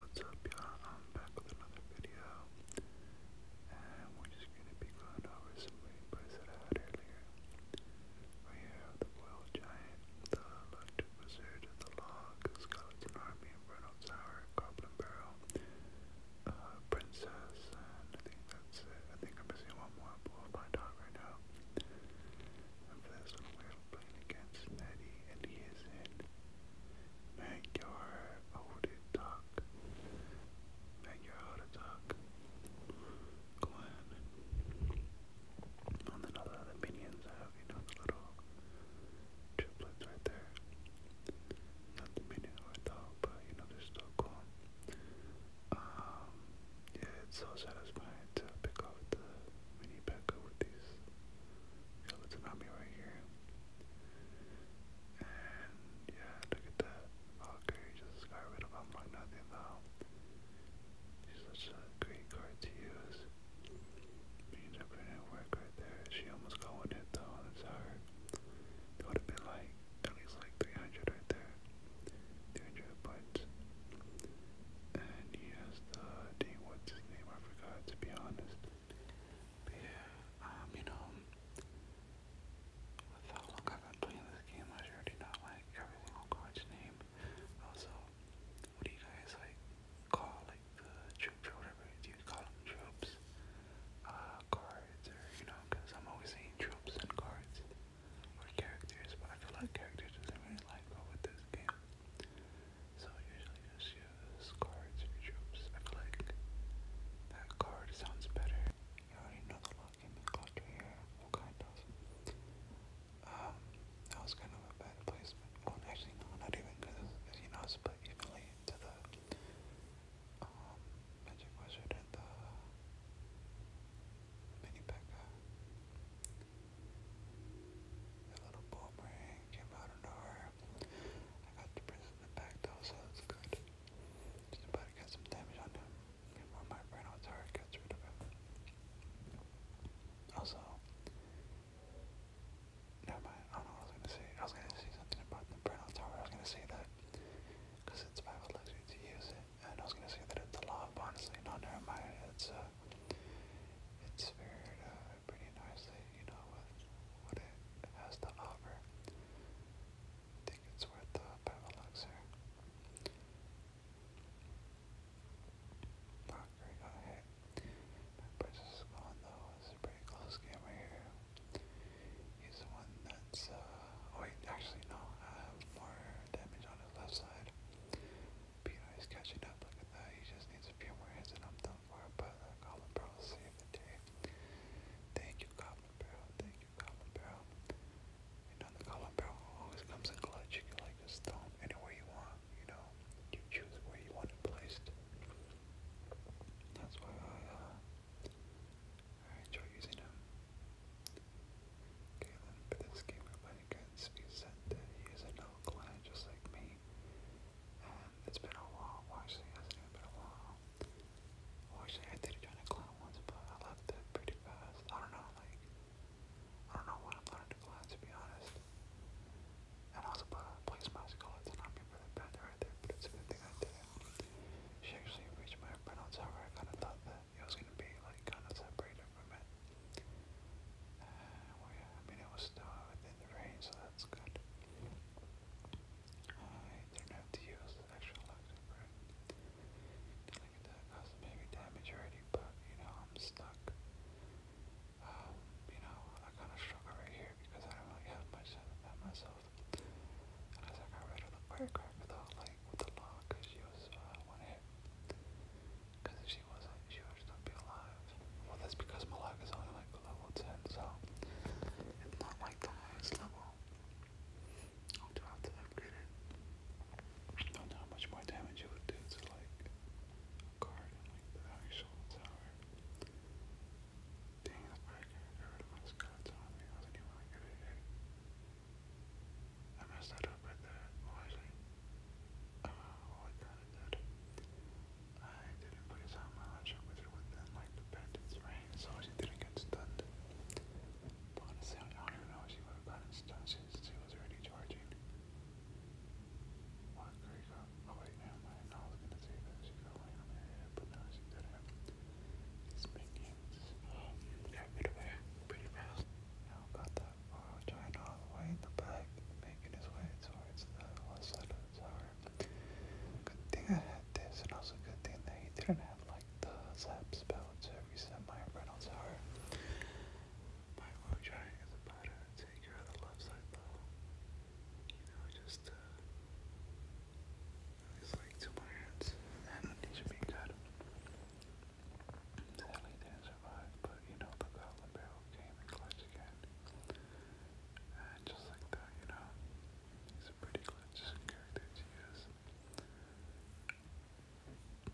What's up y'all? I'm back with another video and we're just gonna be going over some replays that I had earlier. Right here the Boiled Giant, the Electric Wizard, the Log, Skeleton Army, Inferno Tower, Goblin Barrel, uh, Princess, and that's it. I think I'm missing one more, but we'll find right now. And for this one, we're playing against Nettie and he is in Magyar Odetak. Magyar Odetak. Glenn. And then all the other minions have, you know, the little triplets right there. Not the minion or though, but you know, they're still Um, yeah, it's so satisfying to pick off the mini pack with these skeletons on me right here. And yeah, look at that. Valkyrie just got rid of him like nothing though. She's such a great card to use. Means I put in work right there. She almost got one hit though, that's hard. It would have been like at least like 300 right there. 300 points. And he has the D, what's his name? I forgot to be honest yeah, um, you know, with how long I've been playing this game, I already know like every single card's name. Also, what do you guys like call like the troops or whatever? Do you call them troops? cards uh, or you know? Because I'm always seeing troops and cards or characters, but I feel like characters doesn't really like go with this game. So usually just use cards and troops. I feel like that card sounds better. You already know the lock in the cluster here. Well, kind of. Um, was kind of a bad placement. Well, actually, no, not even because, you know, it's split evenly to the um, Magic Wizard and the Mini The little boomerang came out of nowhere crap. I got the prince in the back though, so that's good. Just about to get some damage on him. And when my Reynolds heart gets rid of him. Also, never mind. I don't know what I was gonna say. I was gonna say something about the Brennel Tower. I was gonna say that because it's five luxury to use it, and I was gonna say that it's a lob. Honestly, no, never mind. It's uh, it's very uh, pretty nicely, you know, with what it has to offer. I think it's worth the Pavelux here. Not great, got hit. Burgess is gone though. It's a pretty close game right here. He's the one that's, uh, oh wait, actually no, I have more damage on his left side. Peter is catching up. Look that. He just needs a few more hits, and I'm done for. But uh, Colin saved the day. Thank you, Colin Thank you, Colin You know, the Colin always comes in clutch. You can like just throw him anywhere you want. You know, you choose where you want it That's why uh, I, enjoy using him. Okay, then for this game, everybody gets be said that he is a no clan just like me it's been a while. Well, it has been a while. Well, I did join a clan once, but I left it pretty fast. I don't know, like, I don't know when I'm learning to to be honest. And also, but I placed my skull. It's not me really right there, but it's a good thing I did it. She actually reached my pronounce however I kind of thought that it was going to be, like, kind of separated from it. Uh, well, yeah, I mean, it was still within the range, so that's good. I didn't have to use the extra electric break. Like that caused maybe damage already, but you know, I'm stuck. Um, you know, I kind of struggle right here because I don't really have much to defend myself. And as I got rid of the firecracker though, like with the log, because she was uh, one hit. Because if she wasn't, she would not be alive. Well, that's because Malak is only like level 10, so it's not like the highest level. I'll do have I don't know how much more damage it would do to like card like the actual tower. Dang, I wasn't I messed that up right there. Why uh, oh, well, I kind of I didn't put his helmet on. I wish it like the pendants rain, so she didn't get stunned. honestly, I don't know if she would have gotten stunned since she was already charging. What great oh, wait, never mind. I was gonna say that she got on her head, but no, she didn't. These big hands um, got rid pretty fast. Now got the Marrow giant all the way in the back, making his way towards the left side of the tower. Good thing I had this, and also good thing that he didn't have like the zap spell to reset my rental tower. My rogue giant is about to take care of the left side though. You know, just uh it's like two more hands and it should be good. Sadly, there's survive, but you know, the goblin came and glitched again. And just like that, you know, he's a pretty glitch character to use.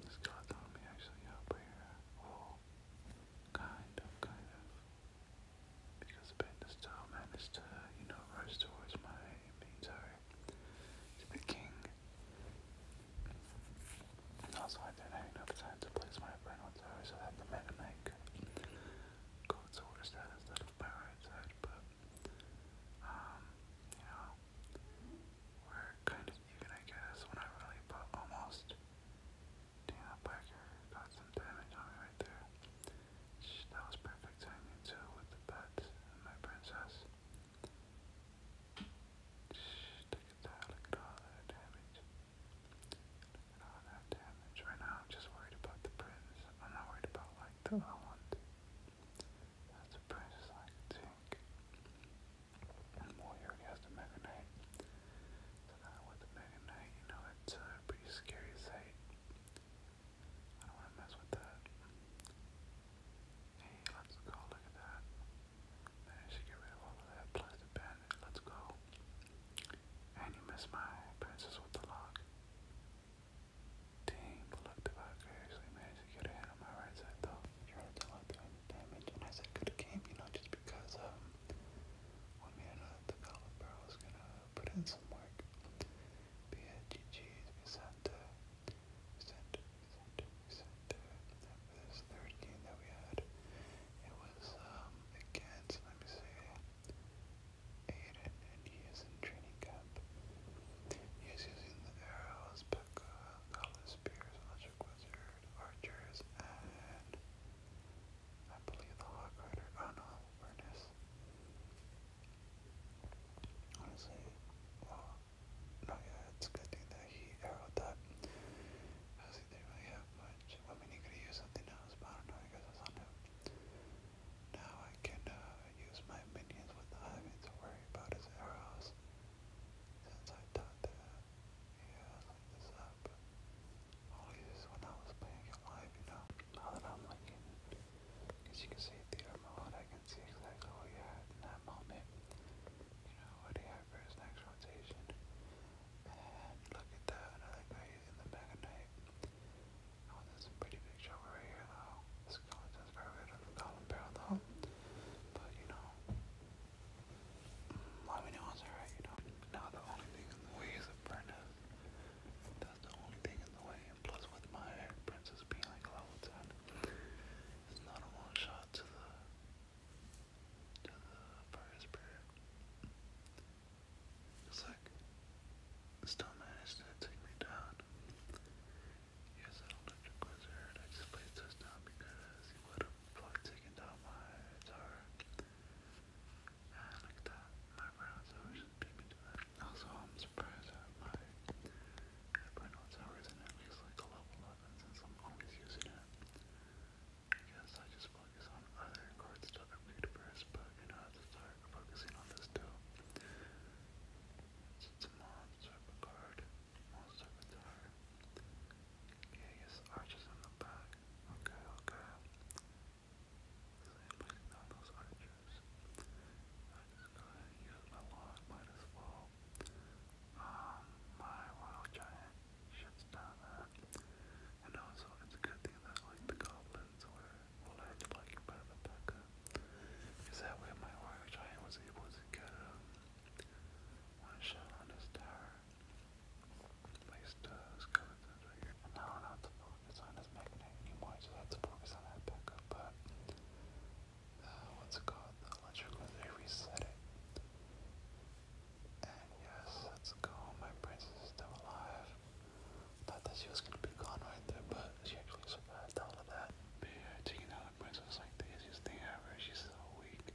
This god on me actually up here. Oh, kind of, kind of. Because Bender still managed to, you know, rush towards my, I mean, to the king. Also, I didn't have enough time to place my friend with her so that the Mega Knight could go instead of Pirate's Head, but, um, you we're kind of even, I guess, when I really put almost Dana Parker got some damage right there. that was perfect timing, too, with the pets and my princess. She, all that damage. Right now I'm just worried about the prince. I'm not worried about like the other ones. That's a prince like tank. And more he already has the Mega Knight. So now with the Mega Knight, you know it's a pretty scary sight. I don't wanna mess with that. Hey, let's go look at that. Managed Let's go. And you missed my princess with the lock. Dang, but look, if I to get a on my right side though. Try to do like the and I said good game, you know, just because um, one man of the caliber was gonna put in some work. Be it GG's, be sent to, sent to, sent to, sent to, this third that we had, it was um, let me see, Aiden, and he is in training camp. He is using the arrows, Pekka, Godless Spears, Electric Wizard, Archers, and I believe the Hawk Rider. Oh no, Furnace. Honestly, well, no, yeah, it's good thing that he arrowed that. Because he didn't have much much. I mean, you could use something else, but I don't know, I guess that's on him. Now I can uh, use my minions without having to worry about his arrows. Since I thought that, yeah, I like this up. Only this when I was playing it live, you know. Now that I'm looking, as you can see, theater mode, I can see exactly what he had in that moment. You know, what he guy next rotation. And look at that, another guy in the back of night. Oh, there's a pretty big shovel right here though. Skeletons got rid of the column barrel though. But you know, mm, let me know it's alright, you know. Now the only thing in the way is a princess. That's the only thing in the way. And plus with my princess being like level 10, it's not a one shot to the to the It's like, still managed to take me down. Yes, that electric wizard, I just placed this down because he would have probably taken down my tower. And look at that, my round tower just me to that. Also, I'm surprised that my Hypernal tower isn't like level 11 since I'm always using it. Yes, I just focus on other card stuff i first, but you know, I to start focusing on this too. it's a monster of a card, monster yes, archers in the back. Okay, okay. I'm just go ahead my log, might um, my wild giant shuts down that. And also, it's a good thing that, like, the goblins were, well, like better than Becca. that way my wild giant was able to get um, a one shot on his tower. Placed uh, skeleton trigger. And now I don't have to focus on his anymore, I just have to focus on that but. Uh, what's it called? The electric was they reset it. And yes, let's go. My princess is still alive. Thought that she was gonna be gone right there, but she actually survived all of that. But yeah, taking out the princess like the easiest thing ever. She's so weak.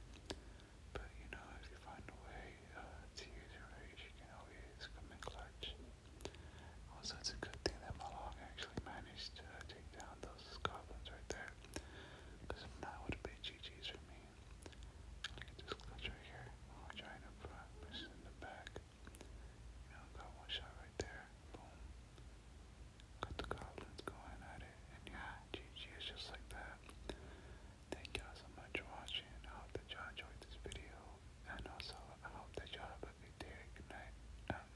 But you know, if you find a way uh, to use your rage, you can always come in clutch. Also, it's a good thing that Malong actually managed to uh, take down those goblins right there. Because if not, it would have been GG's for me. Look at this glitch right here. Oh, giant up front, versus in the back. got one shot right there. Boom. Got the goblins going at it. And yeah, GG is just like that. Thank y'all so much for watching. I hope that y'all enjoyed this video. And also, I hope that y'all have a good night. I'm